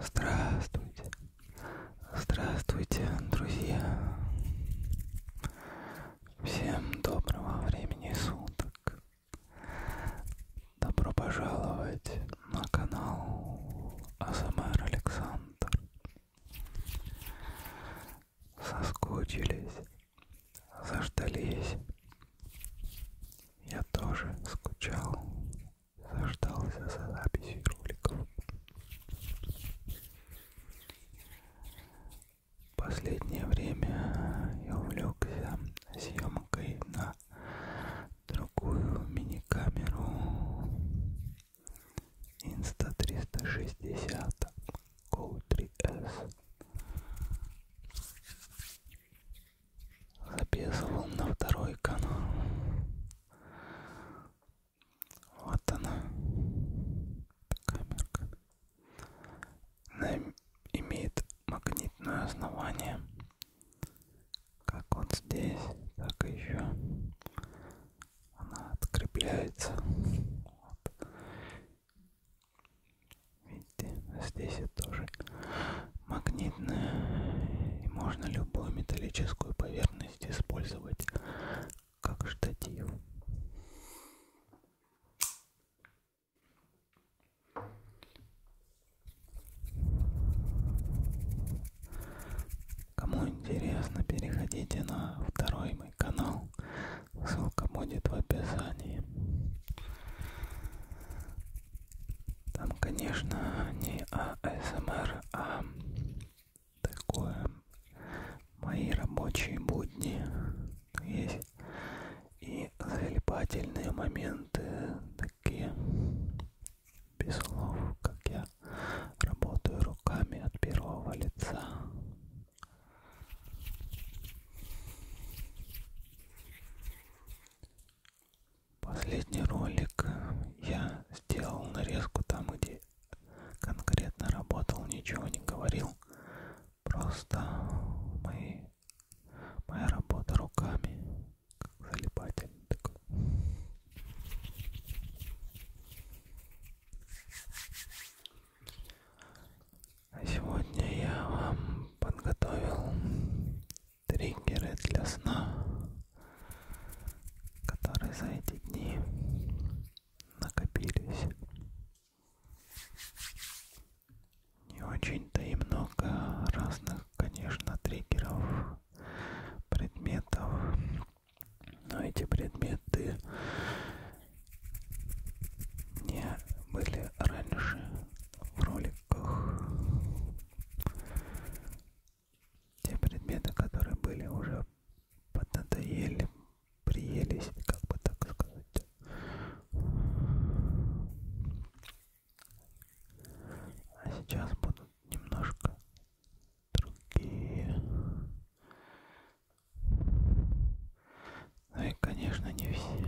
Здравствуйте, здравствуйте, друзья. Всем доброго времени суток. Добро пожаловать на канал АСМР Александр. Соскучились, заждались. Я тоже скучал, заждался за записью роликов. Последнее время я увлекся съемкой на другую мини-камеру Insta360 Go3S. Записывал на второй канал. Вот она, камерка. Она имеет магнитное основание как вот здесь так и еще она открепляется вот. видите здесь это тоже магнитная и можно любую металлическую поверхность использовать как штатив Кому интересно, переходите на второй мой канал. Ссылка будет в описании. Там, конечно, не АСМР, а такое мои рабочие будни. Есть и залипательные моменты, языке. Без слов, как я работаю руками от первого лица. Последний ролик я сделал нарезку там, где конкретно работал, ничего не говорил. Просто мои Моя работа руками, как залипательный такой. А сегодня я вам подготовил триггеры для сна, которые за эти дни накопились не очень-то и много разных, конечно, триггеров, предметов, но эти предметы не были раньше в роликах. Те предметы, которые были уже поднадоели, приелись, как бы так сказать. А сейчас будут немножко другие. Ну и, конечно, не все.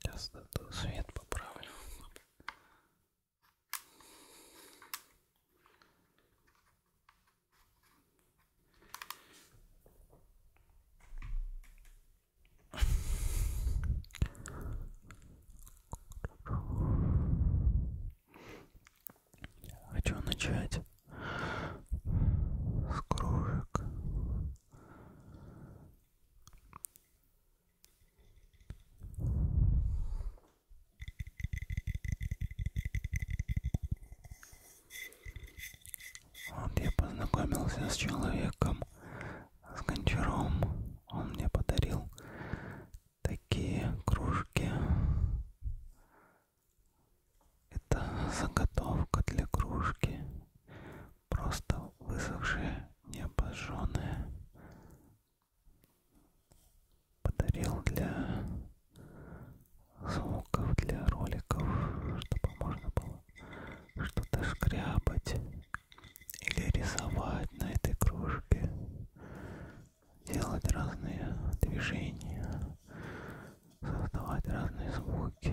Сейчас свет поправлю. Хочу начать с кружек. Вот я познакомился с человеком, с гончаром. Он мне подарил такие кружки. Это заготовка для кружки. Просто высохшие, необожженные. Подарил для звуков, для роликов, чтобы можно было что-то шкрябать или рисовать на этой кружке, делать разные движения, создавать разные звуки.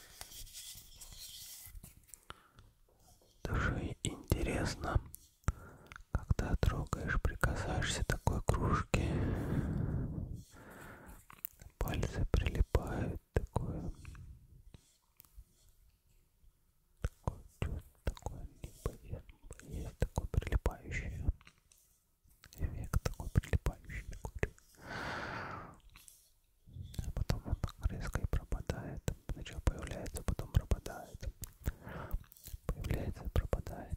Души интересно, когда трогаешь, прикасаешься такой кружке, пальцы прилипают, такое, такое чувство, такое либо есть, такое прилипающее. Век такой прилипающий. Такой. А потом он так резко и пропадает. Сначала появляется, потом пропадает. Появляется и пропадает.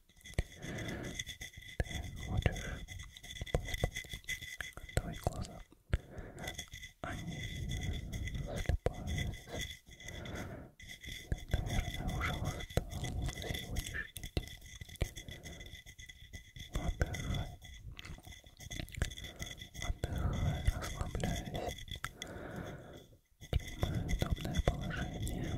Ты хочешь поспать? Твои глаза, они слепаются. Ты, наверное, уже устал сегодняшний день. Отдыхай. Отдыхай, расслабляйся. Принимай удобное положение.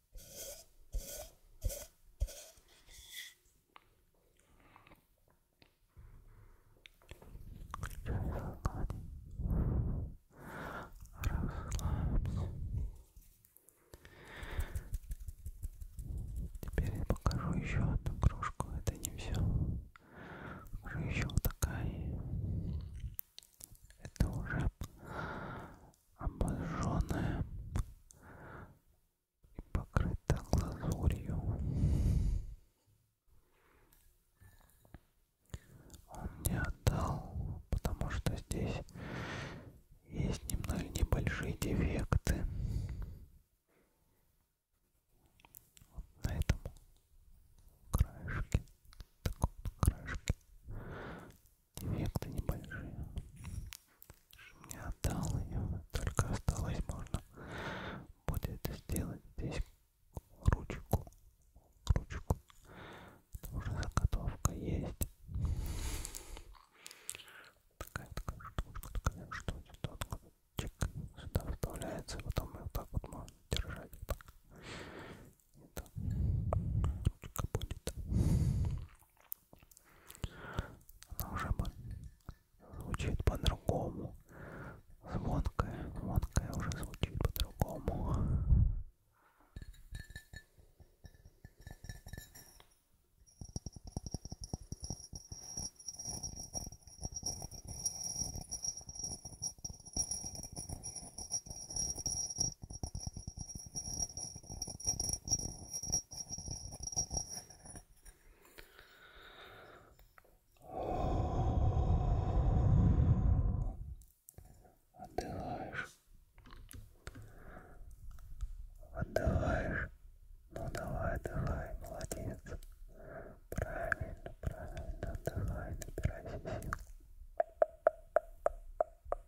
Расслабься. Теперь я покажу еще одну кружку. Это не все. Уже еще вот такая. Это уже обожженная и покрыта глазурью. Он не отдал, потому что здесь есть немного небольшие дефекты. Вот на этом краешке, таком краешке Эффекты небольшие. Мне отдал ее, только осталось можно будет сделать здесь ручку. Ручку. Потому что заготовка есть. Такая такая штучка, такая штучка. Тут вот чик сюда вставляется, потом ее вот так вот можно держать. Вот так. И так. Ручка будет. Она уже звучит по-другому. Звонкая, звонкая уже звучит по-другому. Отдыхаешь. Отдыхаешь. Ну давай, отдыхай, молодец. Правильно, правильно, отдыхай, набирайся сил.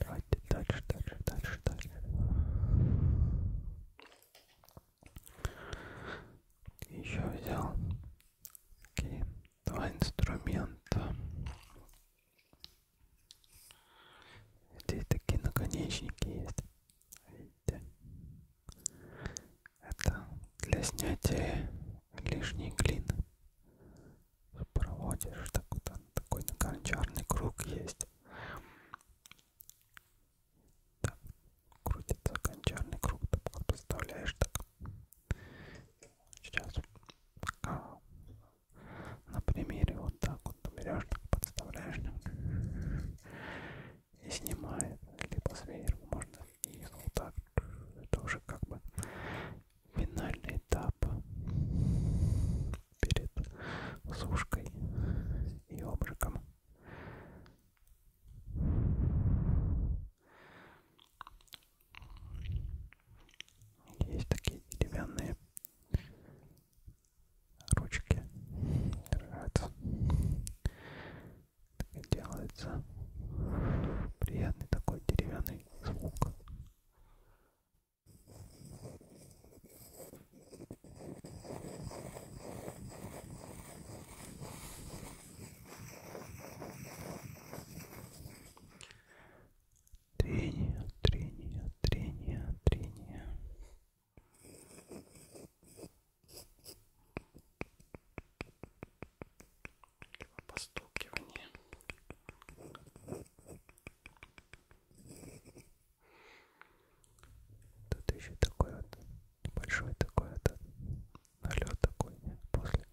Давайте дальше, дальше, дальше, дальше. Еще взял такие два инструмента. Здесь такие наконечники есть. Видите? Это для снятия лишней глины. Проводишь так вот, такой накончарный круг есть. Так, крутится кончарный круг, ты представляешь так. Сейчас, а, на примере вот так вот берешь, так подставляешь и снимает, либо сверху можно и вот так. Это уже как бы финальный этап перед сушкой и обжигом. Есть такие деревянные ручки, держатся. Так делается приятный такой деревянный звук. Трение, трение, трение, трение. Постукивание. Тут еще такой вот большой такой вот налет такой после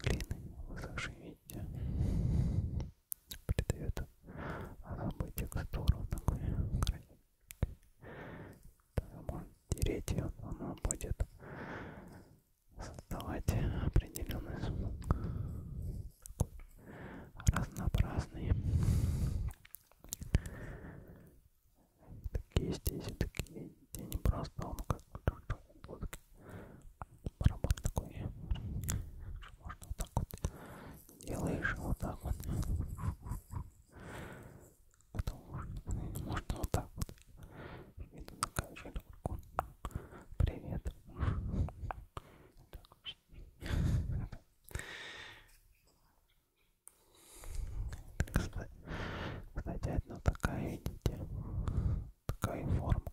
глины высохшей, видите, придает особую текстуру такой красивый. Можно тереть ее, она будет создавать определенный звук такой разнообразный. Такие здесь и такие, где не просто он как лодки. Барабан такой, можно вот так вот делаешь, а вот так вот. Потом можно, можно вот так вот. Иду на качельку. Привет. Так, кстати, кстати, одна такая, видите, такая форма,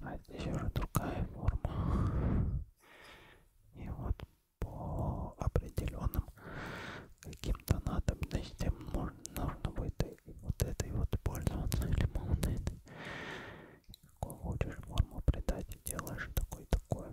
а здесь уже другая форма. И вот по определенным каким-то надобностям нужно, нужно будет вот этой вот пользоваться или вот этой какую хочешь форму придать, делаешь такой такое.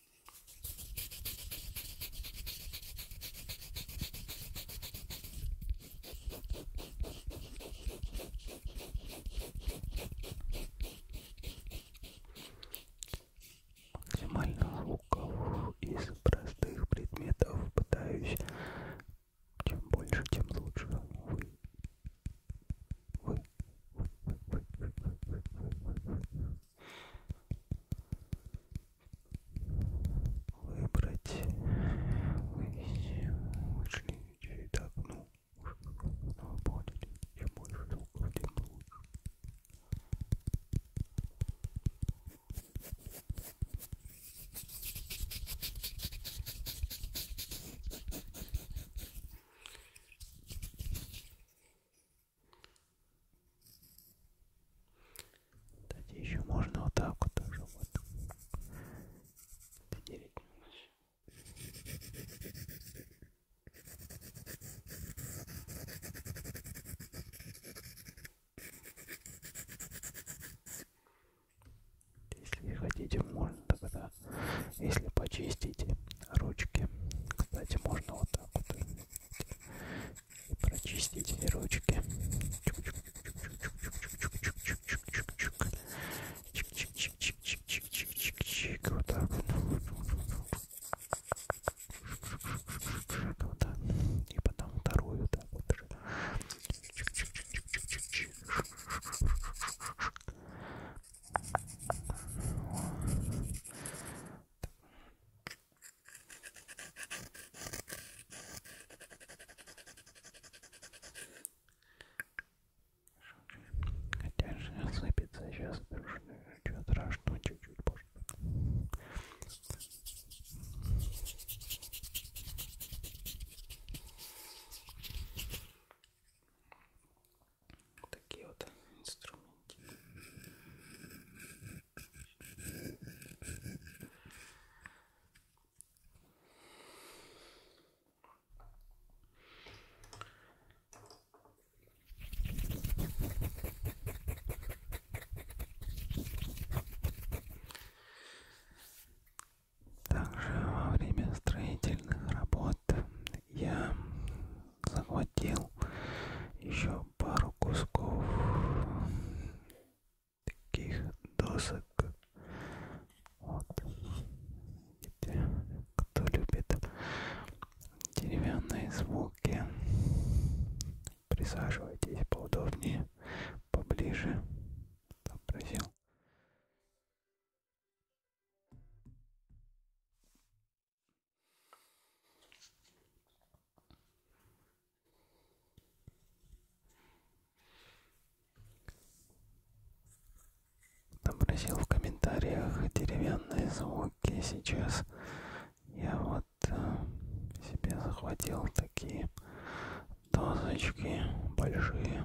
максимально звуков из простых предметов пытаюсь чем больше, тем лучше. Вы. Вы. Вы. Вы. Вы. Вы. Вы. Вы выбрать вы вышли и так ну но поняли чем больше звуков тем лучше кстати, еще можно вот так вот тоже вот доделить немножко. Если хотите, можно тогда, если почистите ручки, кстати, можно вот так вот и прочистите ручки. Чик-чик-чик-чик-чик-чик-чик-чик-чик-чик. Вот так вот. Вот так. И потом вторую так вот. Чик-чик-чик-чик-чик-чик. Так. Хотя же осыпется сейчас, что страшно, чуть-чуть позже. Такие вот инструменты. Также во время строительных работ я захватил еще пару кусков таких досок. Вот. Кто любит деревянные звуки, присаживайтесь поудобнее, поближе. Попросил. Отобразил в комментариях деревянные звуки. Сейчас я вот э, себе захватил такие дозочки большие.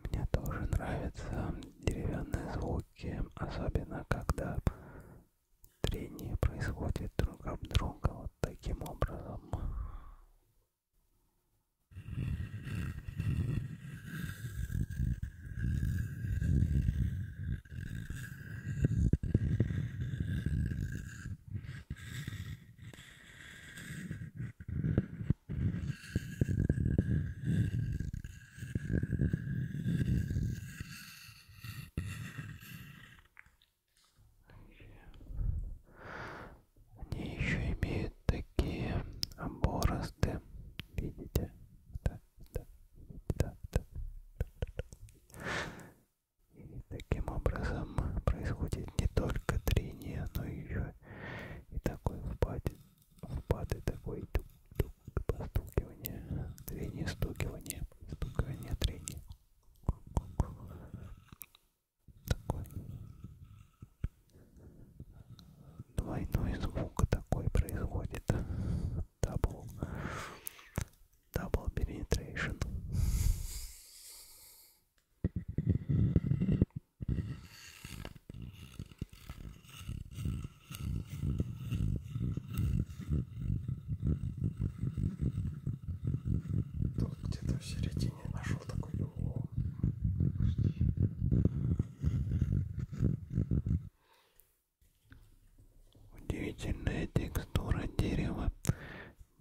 Мне тоже нравятся деревянные звуки руке, особенно когда трение происходит друг об друга вот таким образом. Они еще имеют такие борозды. Видите? Да, да, да, да. И таким образом происходит не только трение, но еще и такой впадин лопаты такой тук тук постукивание, трение, стукивание, стукивание, трение. Такой двойной звук такой производит. Double, double penetration. Тут где-то в середине нашел такой угол. Удивительная текстура дерева,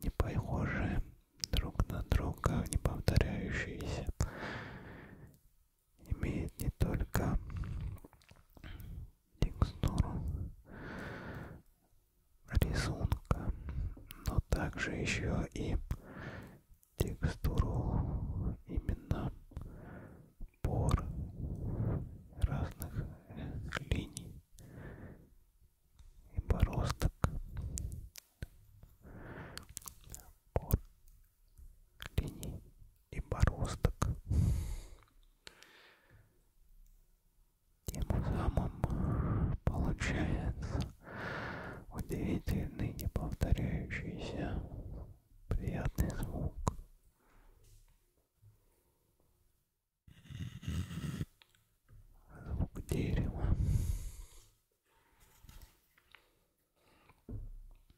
не похожая друг на друга, не повторяющиеся имеет не только текстуру рисунка, но также еще и текстуру именно пор разных линий и бороздок. Пор линий и бороздок. Тем самым получается удивительный, неповторяющийся, приятный звук. Звук дерева.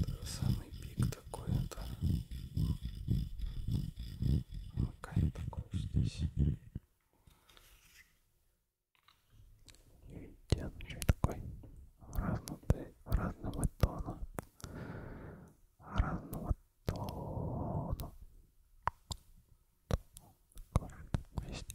Это самый пик такое-то. Какая такое здесь. Видите, он еще такой разнутый, разного тона. Разного тона. Есть.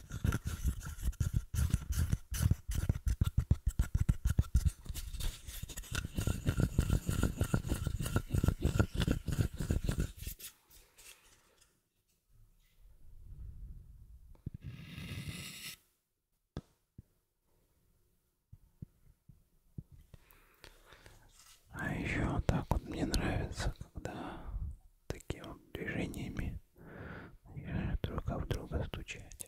А еще вот так вот мне нравится, когда такими вот движениями друг в друга стучать.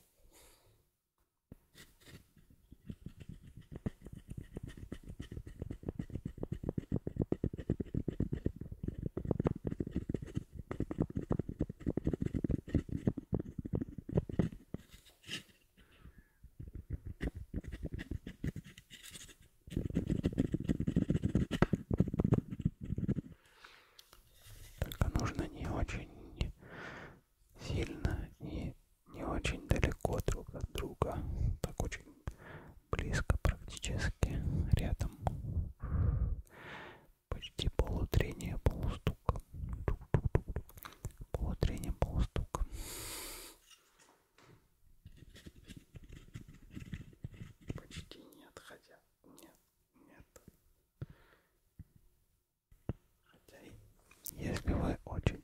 Только нужно не очень сильно и не очень далеко друг от друга, так очень близко, практически рядом. Почти полутрение, полустук. Полутрение, полустук. Почти не отходя нет. Хотя, если вы очень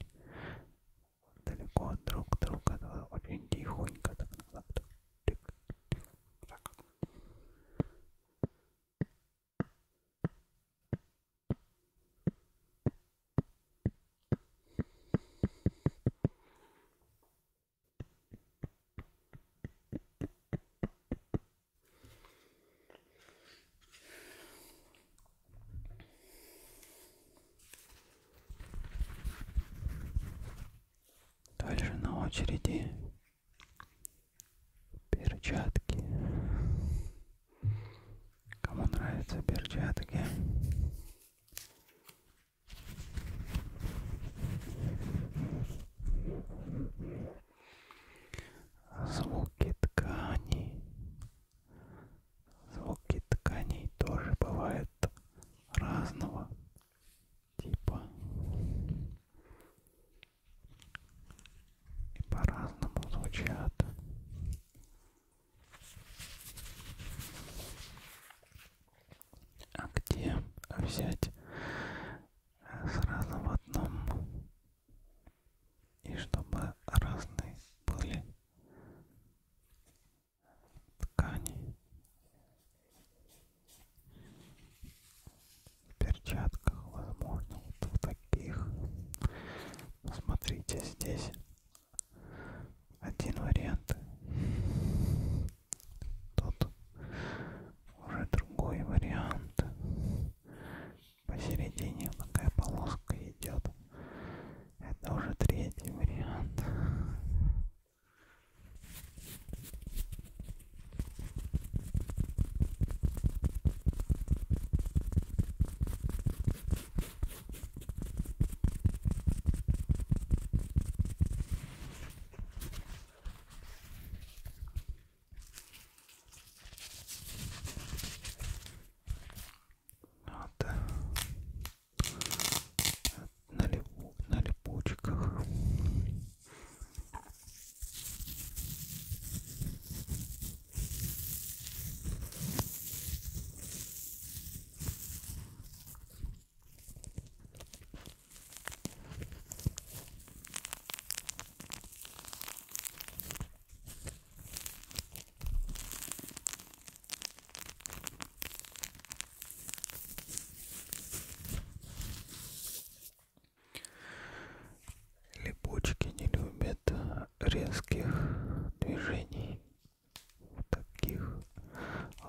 далеко друг от друга, то вы очень тихонько так назад. Тык, тык, так. Дальше на очереди перчатки. Кому нравятся перчатки? Звуки тканей. Звуки тканей тоже бывают разного типа. И по-разному звучат. А где взять сразу в одном? И чтобы разные были ткани в перчатках, возможно, вот в таких. Смотрите, здесь один вариант, тут уже другой вариант. Посередине такая полоска идет. Это уже третий вариант. Вот. На, липу, на липучках. Липучки не любят резких движений, таких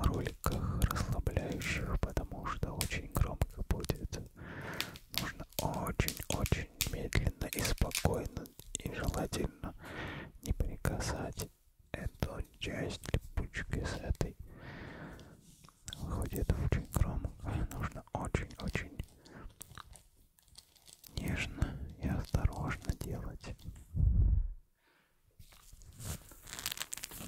роликах расслабляющих, потому что очень громко будет. Нужно очень-очень медленно и спокойно и желательно не прикасать эту часть липучки с этой. Выходит очень громко, нужно очень-очень нежно и осторожно делать.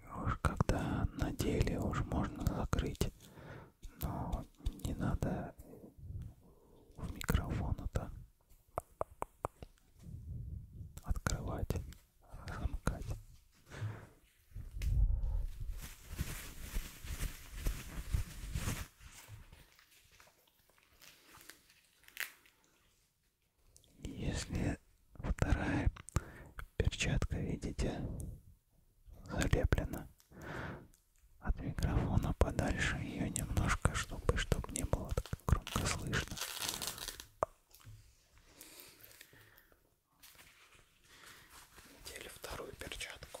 И уж когда надели, уж можно закрыть, но не надо в микрофон это открывать, замкать. Если вторая перчатка, видите, залеплена от микрофона подальше ее немножко, чтобы, чтобы не было так громко слышно. Надели вторую перчатку.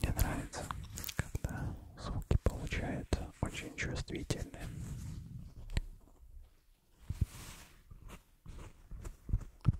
Мне нравится, когда звуки получаются очень чувствительные.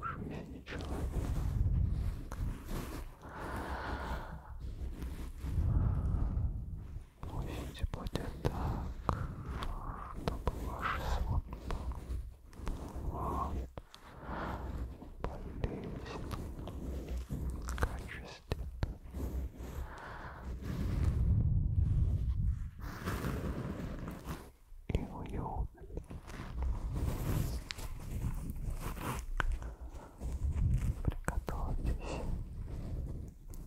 Уж меня ничего. Пусть будет так, чтобы ваш сон был вам полезен, качествен и уютный. Приготовьтесь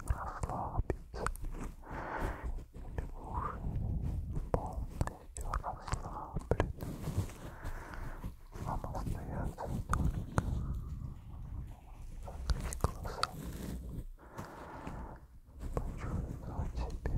расслабиться или уже полностью расслаблены. Вам остается только закрыть глаза, почувствовать себя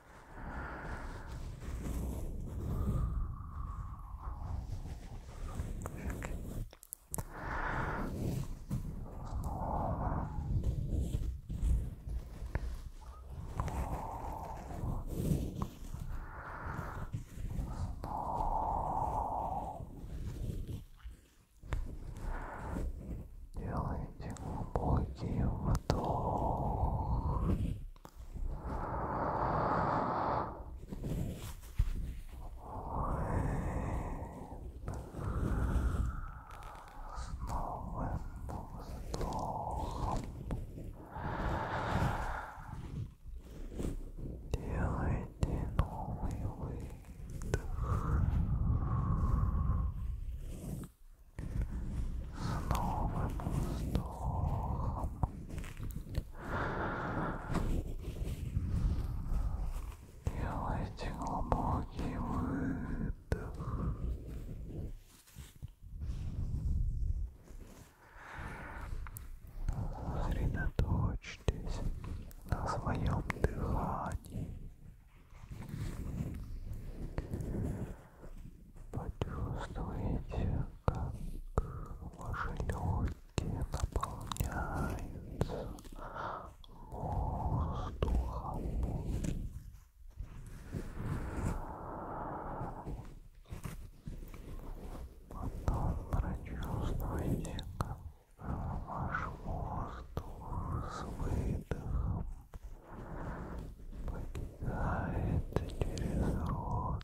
Делайте глубокий вдох с новым вздохом делайте новый выдох. С новым вздохом Делайте глубокий выдох. Сосредоточьтесь на своем дыхании. Почувствуйте, как ваши легкие наполняются воздухом. Потом прочувствуйте, как ваш воздух с выдохом покидает через рот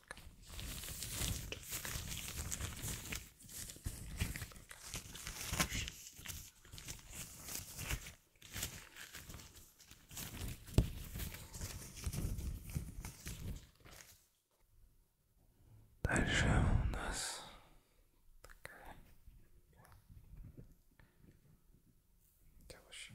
Дальше у нас такая девушка.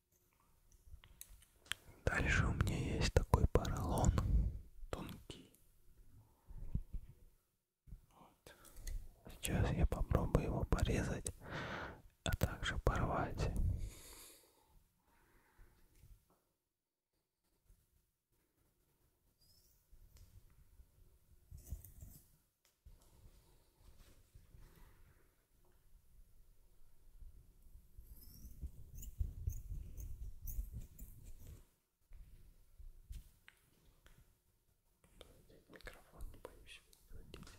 Дальше у меня есть такой поролон тонкий. Вот. Сейчас я попробую его порезать, а также порвать. Микрофон не боюсь выводить.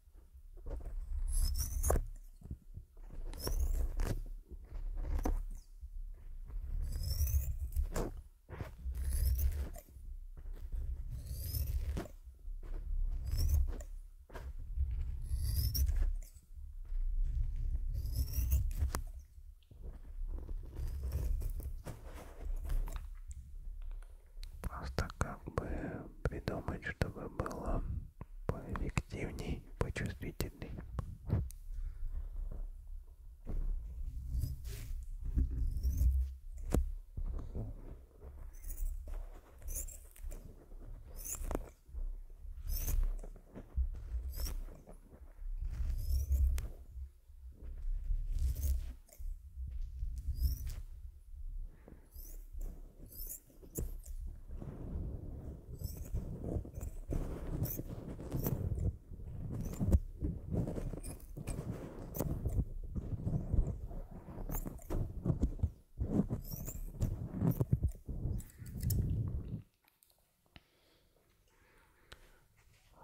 Просто как бы придумать, чтобы было поэффективней, почувствительней.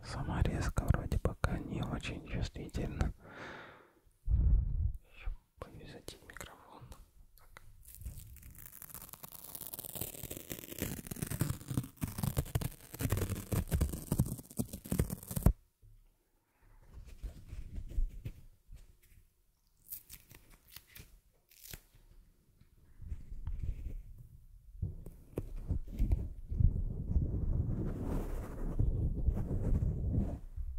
Сама резка вроде пока не очень чувствительна. Еще повязать микрофон. Так.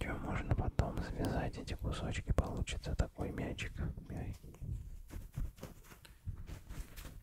Чем можно потом связать эти кусочки, получится такой мячик мягкий.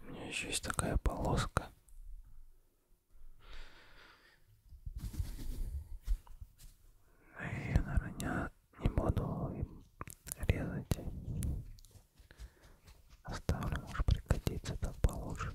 У меня еще есть такая полоска. Я, наверное, не буду им резать. Оставлю, может пригодится так получше.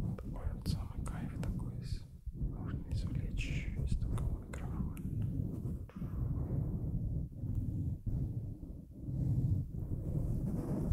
Такой вот самый кайф такой есть. Можно извлечь еще из такого микрофона. Ой,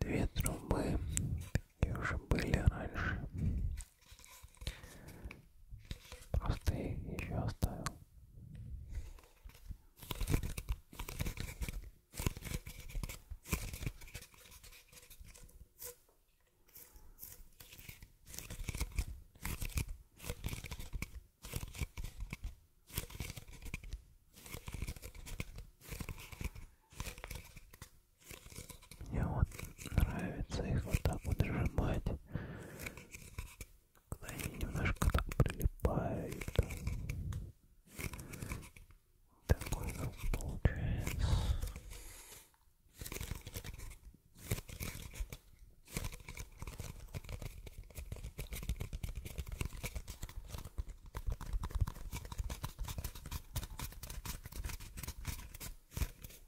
Две трубы такие уже были раньше. Просто их еще оставил. Мне вот нравится их вот так вот сжимать когда они немножко так прилипают. Такой звук получается.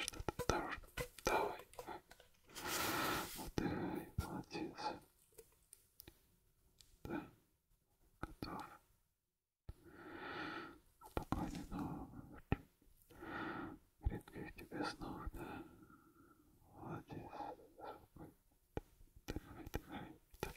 Что-то осторожно. Давай. Отдыхай, молодец. Да, готов. Спокойной ночи. Редких тебе снов, да? Молодец. Давай, давай, давай.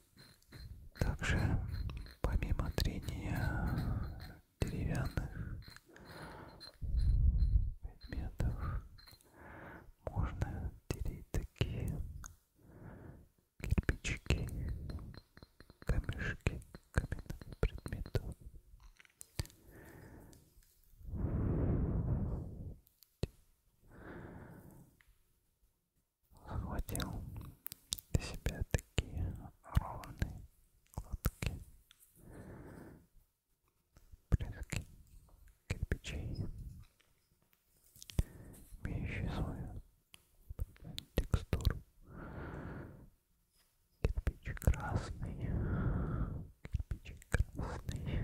Также, помимо трения деревянных предметов, можно делить такие кирпичики, камешки, каменных предметов захватил для себя такие ровные, гладкие плитки кирпичей, имеющие свою текстуру. Кирпич красный, кирпич красный.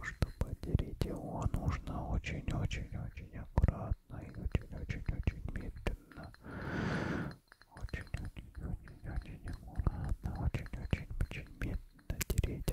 Чтобы отделить его, нужно очень-очень-очень аккуратно и очень-очень-очень медленно. Очень-очень-очень-очень аккуратно, очень-очень-очень медленно тереть.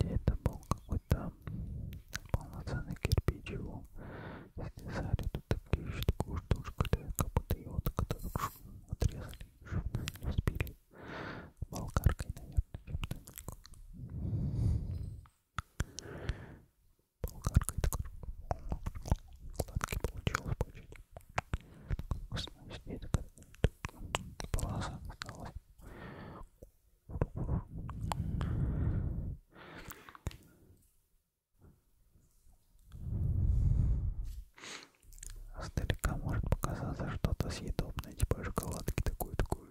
Где-то был какой-то полноценный кирпич его снесали, тут такие еще такую штучку, как будто его отрезали, чтобы не успели болгаркой, наверное, чем-то. Болгаркой такой гладкий получилось почти. Вкусно сидит полоса осталась. Сдалека может показаться что-то съедобное, типа шоколадки такой-такой.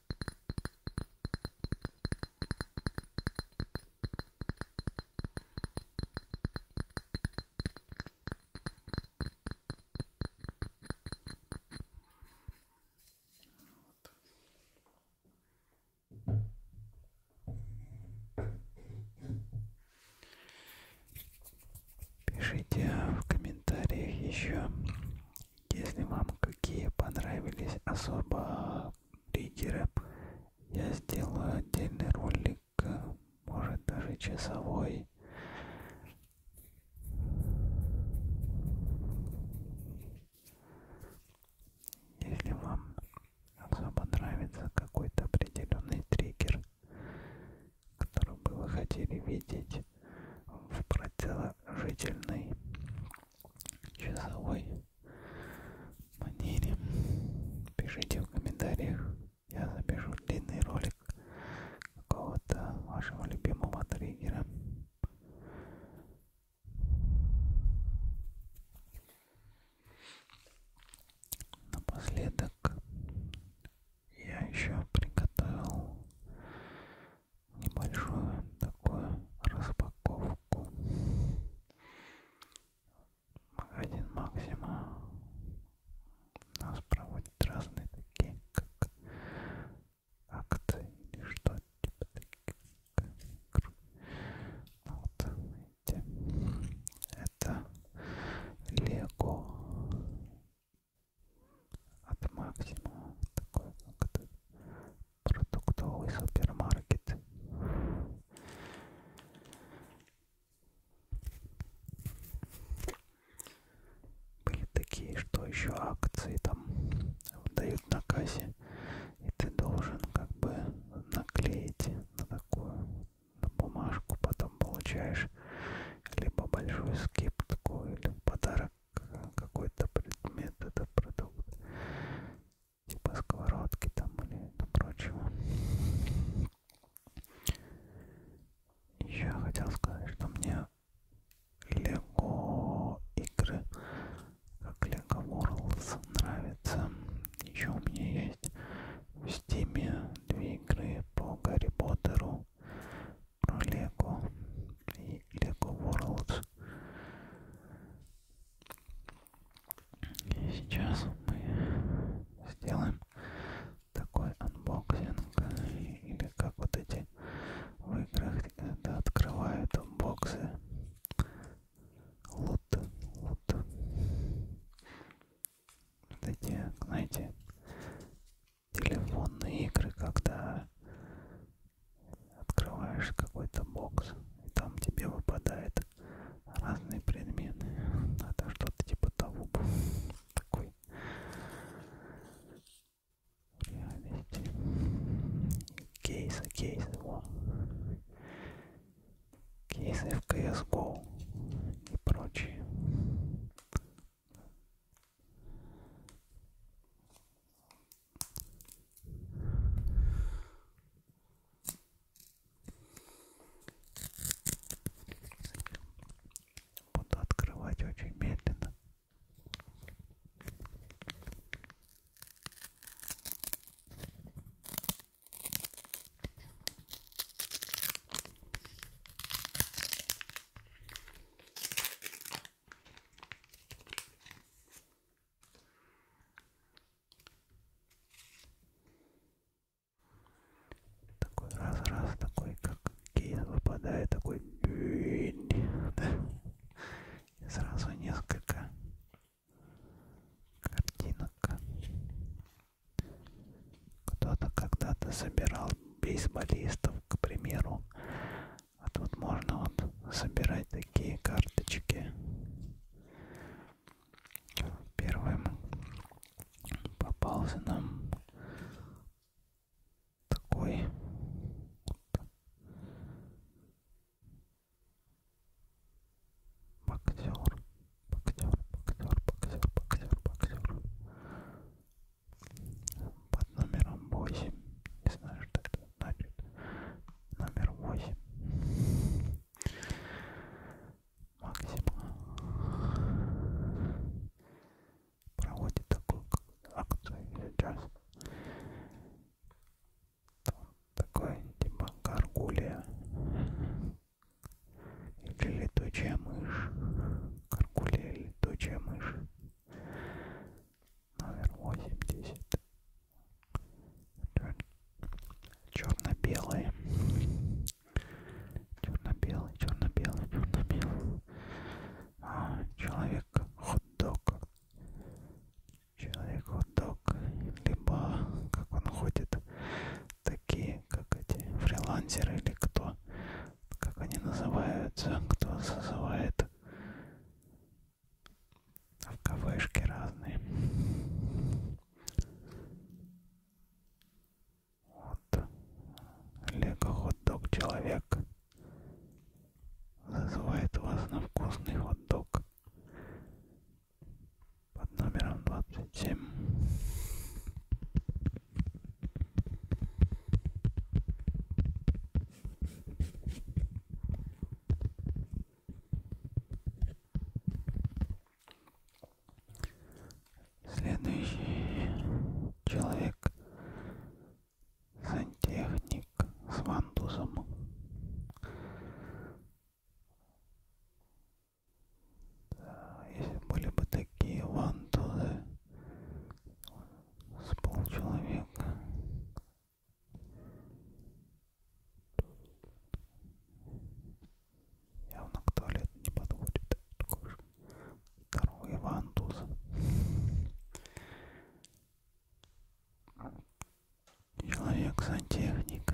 Пишите в комментариях еще, если вам какие понравились особо риггеры, я сделаю отдельный ролик, может даже часовой. Если вам особо нравится какой-то определенный триггер, который бы вы хотели видеть в продолжительной часовой манере. Пишите в комментариях, я запишу длинный ролик какого-то вашего любимого триггера. Напоследок я еще приготовил небольшую такую распаковку. Магазин Максима нас проводит разные такие, как акции или что-то типа таких. Ну вот, видите, это Лего от Максима, такой как это продуктовый супермаркет. Были такие, что еще акции там дают на кассе, и ты должен как бы наклеить на такую на бумажку, потом получаешь либо большую скидку, или подарок какой-то предмет, это продукт, типа сковородки там или прочего. Еще я хотел сказать, что мне Лего игры, как Лего Worlds, нравится. Еще у меня есть в Steam две игры по Гарри Поттеру про Лего и Лего Worlds. И сейчас мы сделаем такой анбоксинг, или как вот эти в играх когда открывают боксы. Лут, лут. Вот эти, знаете, телефонные игры, когда Открываешь какой-то бокс, и там тебе выпадают разные предметы. Это а что-то типа того был. Такой реальности. Кейсы, кейсы, во. Кейсы в CSGO и прочее. Буду открывать очень медленно. Такой раз-раз, такой как кейс выпадает, такой да? И сразу несколько картинок. Кто-то когда-то собирал бейсболистов, к примеру, а тут можно вот собирать такие карточки. Первым попался нам такой боксер, боксер, боксер, боксер, боксер, боксер под номером 8. Не знаю, что это значит номер 8 максима проводит такую акцию сейчас Там такой типа горгулия или летучая мышь горгулия летучая мышь номер 80 черно-белые, черно-белый, черно-белый, черно-белый, а, человек хот-дог, человек хот-дог, либо как он ходит, такие как эти фрилансеры или кто, как они называются, кто зазывает в кавышки разные. Вот Лего хот-дог человек зазывает вас на вкусный хот-дог под номером 27. Следующий человек сантехник с вандусом. Да, если были бы такие вантузы с полчеловека, Явно к туалету не подходит. Такой же здоровый Иван Тузов. Человек-сантехник.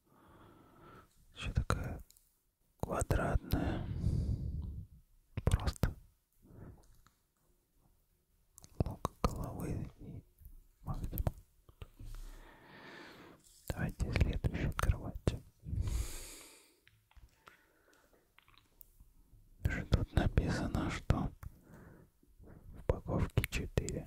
Еще такая квадратная. Просто лук головы и максимум. Давайте следующую кровать. Даже тут написано, что упаковки 4.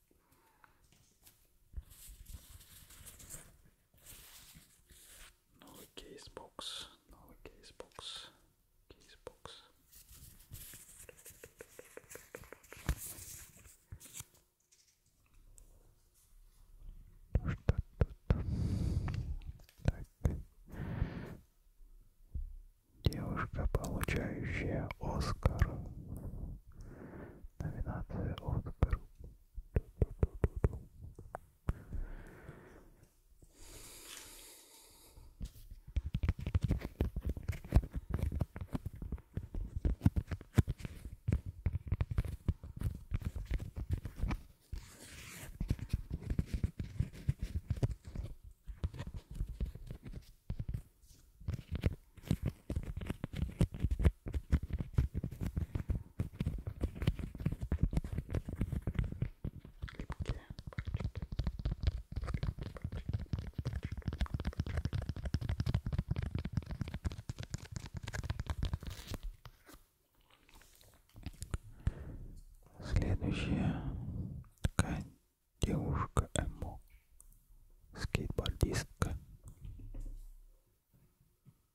Новый ну, кейсбокс, новый ну, кейсбокс, кейсбокс. Что тут? Так. Девушка, получающая Оскар номинация Оскар. Следующая такая девушка эмо скейтбордистка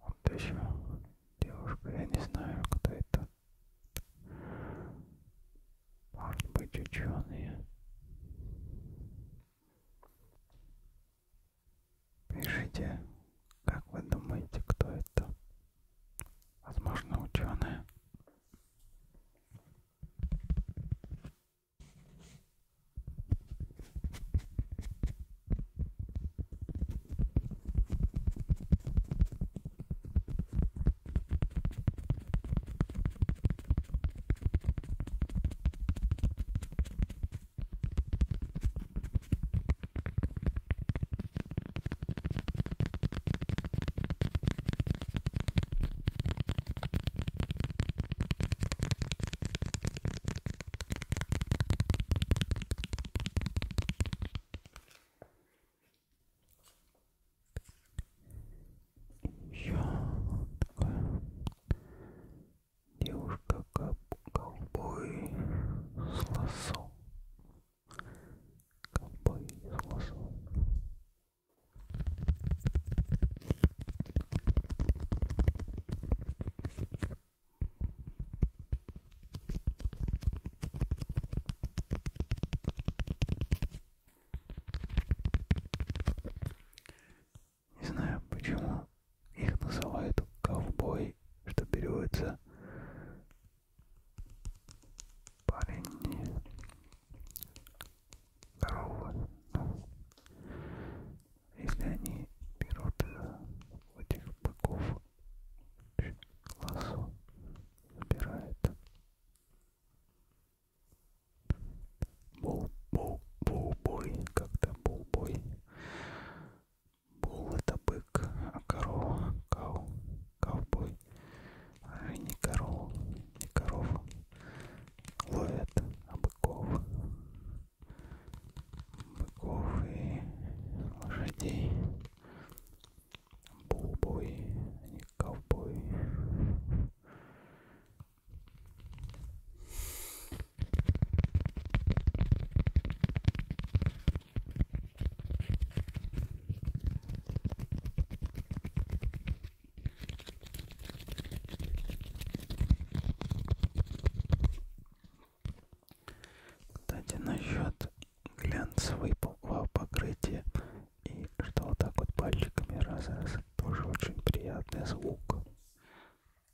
Вот еще девушка, я не знаю, кто это. Может быть, ученые. Пишите, как вы думаете, кто это? Возможно, ученые. Щелка. Девушка-ковбой с лосом ковбой с лосом. Не знаю, почему их называют ковбой, что переводится парень не здоровый. Ну, если они берут этих быков, лосо забирает. Бул-бул-бул-бой, когда бул-бой Бул это бык, а корова кау, ковбой. А не корова, не корова. Ловят, а быков. Быков и лошадей. Булбой, а не ковбой. Кстати, насчет глянцевого покрытия и что вот так вот пальчиками раз раз тоже очень приятный звук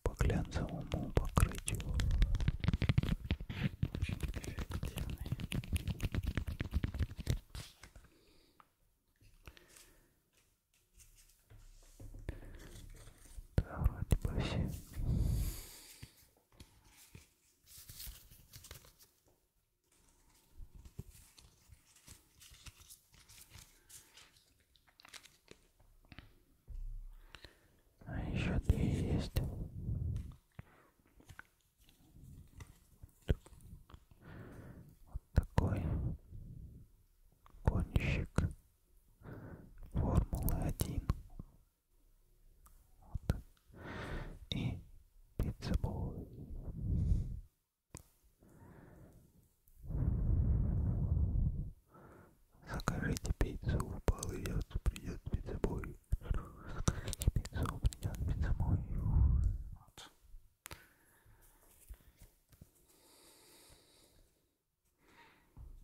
по глянцевому покрытию очень эффективный. Да, вроде бы все. А еще две есть. Вот такой гонщик Формулы-1. Вот. И пиццебой. Закажите пиццу, в придет пиццебой. Пиццу придет домой. Вот. Кратишки.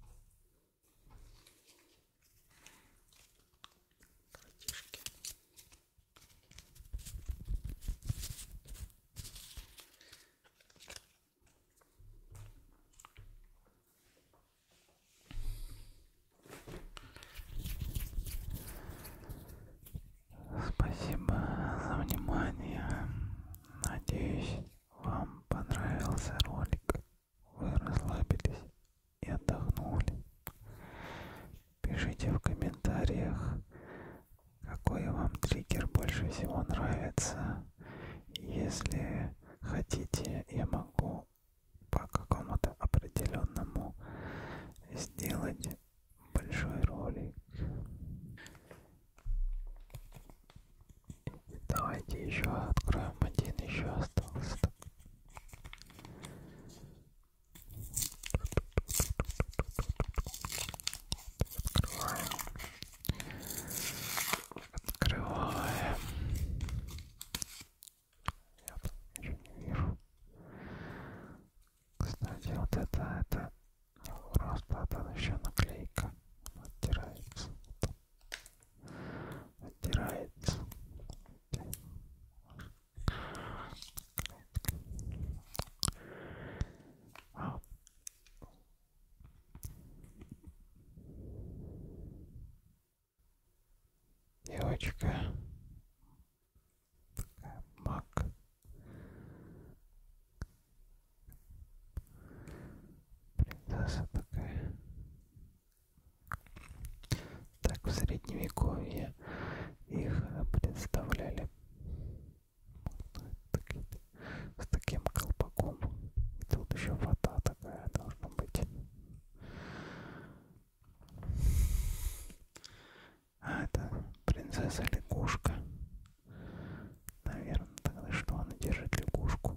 Спасибо за внимание. Надеюсь, вам понравился ролик. Вы расслабились и отдохнули. Пишите в комментариях, какой вам триггер больше всего нравится. Если хотите, я могу ну, по какому-то определенному сделать большой ролик. Давайте еще откроем один, еще остался. Открываем. Открываем. Я там ничего не вижу. Кстати, вот это, это не просто, это еще наклейка. Она оттирается. Оттирается. А девочка такая маг принцесса такая так в средневековье их представляли с таким колпаком и тут еще вода такая должна быть а это принцесса лягушка. Наверное, тогда что она держит лягушку.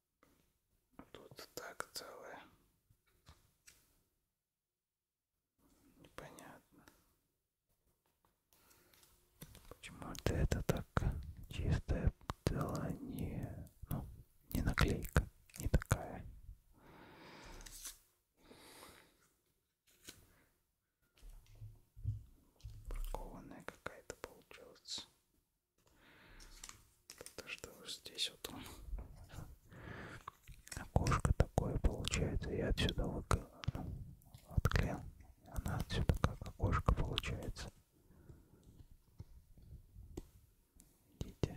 Тут так целое. Непонятно. Почему-то это так чистая целая не, ну, не наклейка, не такая. Бракованная какая-то получилась. Потому что вот здесь вот он. Окошко такое получается. Я отсюда вык... Э, отклеил. Она отсюда как окошко получается. Идите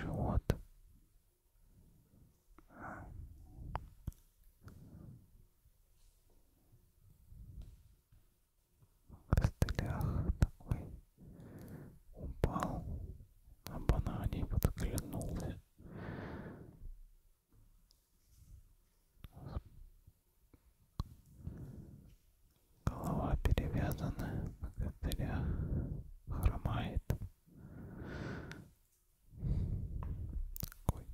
живот в костылях такой упал на банане подглянулся голова перевязана на костылях хромает Ой.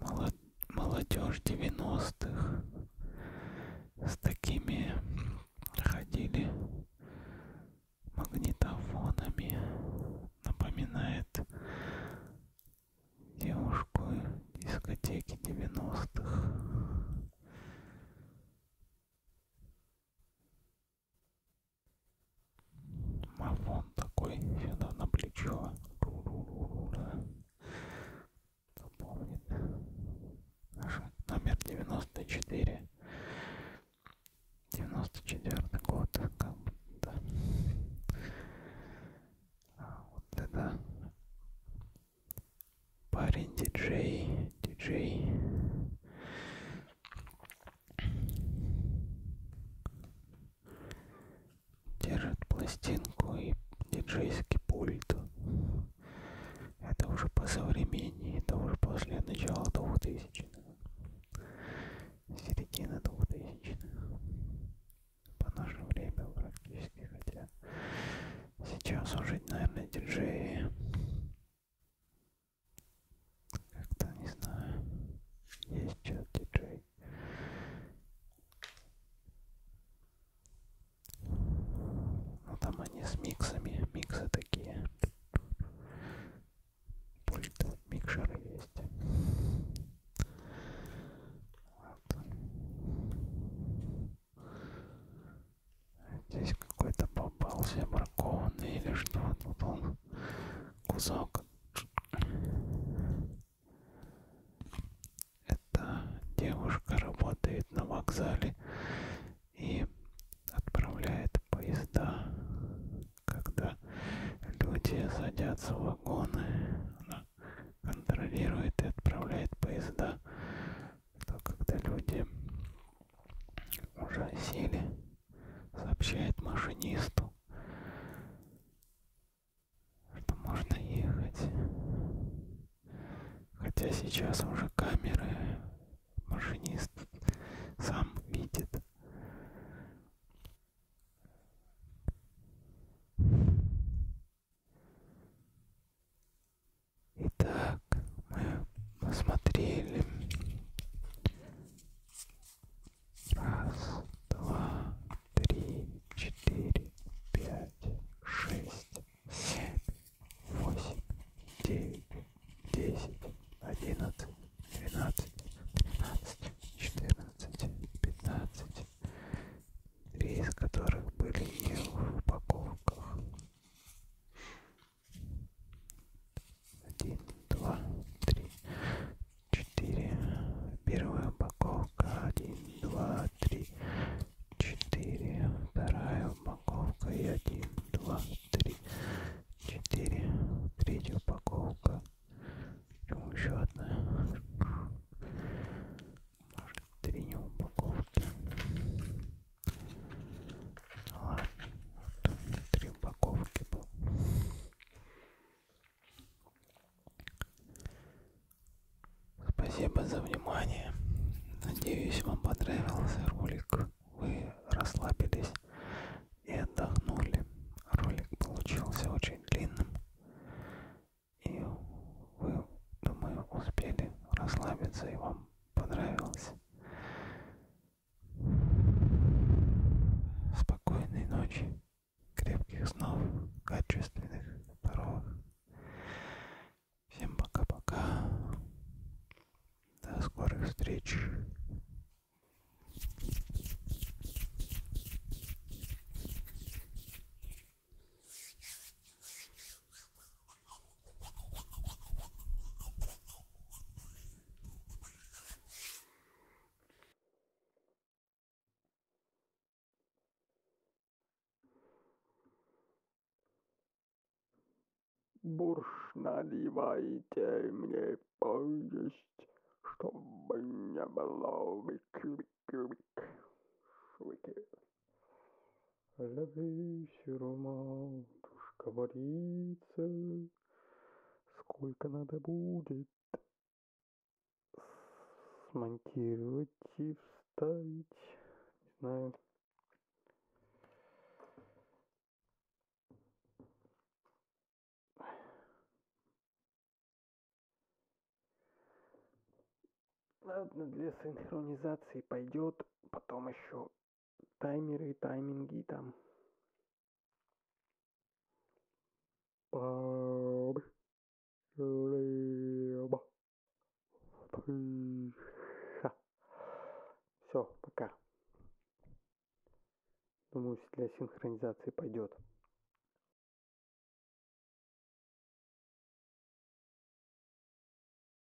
Вот. Молодежь 90-х с такими ходили магнитофонами. Напоминает девушку дискотеки 90-х. Мафон такой сюда на плечо. Кто помнит? Наш номер 94. 94 год. Как будто. А вот это парень диджей, диджей. Держит пластинку и диджейский пульт. Это уже по современнее, это уже после начала 2000-х. Середина 2000-х. По наше время практически, хотя Сейчас уже, наверное, диджеи. Как-то не знаю. Есть чат диджей. Ну там они с миксами. Миксы такие. Пульт, микшеры есть. Вот. Здесь какой-то попался бракованный или что тут он кусок. Эта девушка работает на вокзале и отправляет поезда. Когда люди садятся в вагоны, она контролирует и отправляет поезда то когда люди уже сели, сообщает машинисту, что можно ехать. Хотя сейчас уже камеры машинист сам видит. Итак, мы посмотрели. Раз, два, три, четыре, пять, шесть, семь, восемь, девять, десять, одиннадцать, двенадцать, тринадцать, четырнадцать, пятнадцать. Три из которых были не в упаковках. Один, два, три, четыре. Первая упаковка. Один, два, три, четыре. Вторая упаковка. И один, два, три, четыре. Третья упаковка. Почему еще одна? Может, три упаковки. Ладно, вот три упаковки было. Спасибо за внимание. Надеюсь, вам понравился ролик. Вы расслабились и отдохнули. Ролик получился очень длинным. И вы, думаю, успели расслабиться и вам понравилось. Спокойной ночи, крепких снов, качественных, здоровых. Всем пока-пока. До скорых встреч. Бурш наливайте мне поесть, чтобы не было выкрик-выкрик. Ловящий роман, тушка варится. Сколько надо будет смонтировать и вставить? Не знаю. Ладно, для синхронизации пойдет, потом еще таймеры тайминги там все, пока. Думаю, для синхронизации пойдет.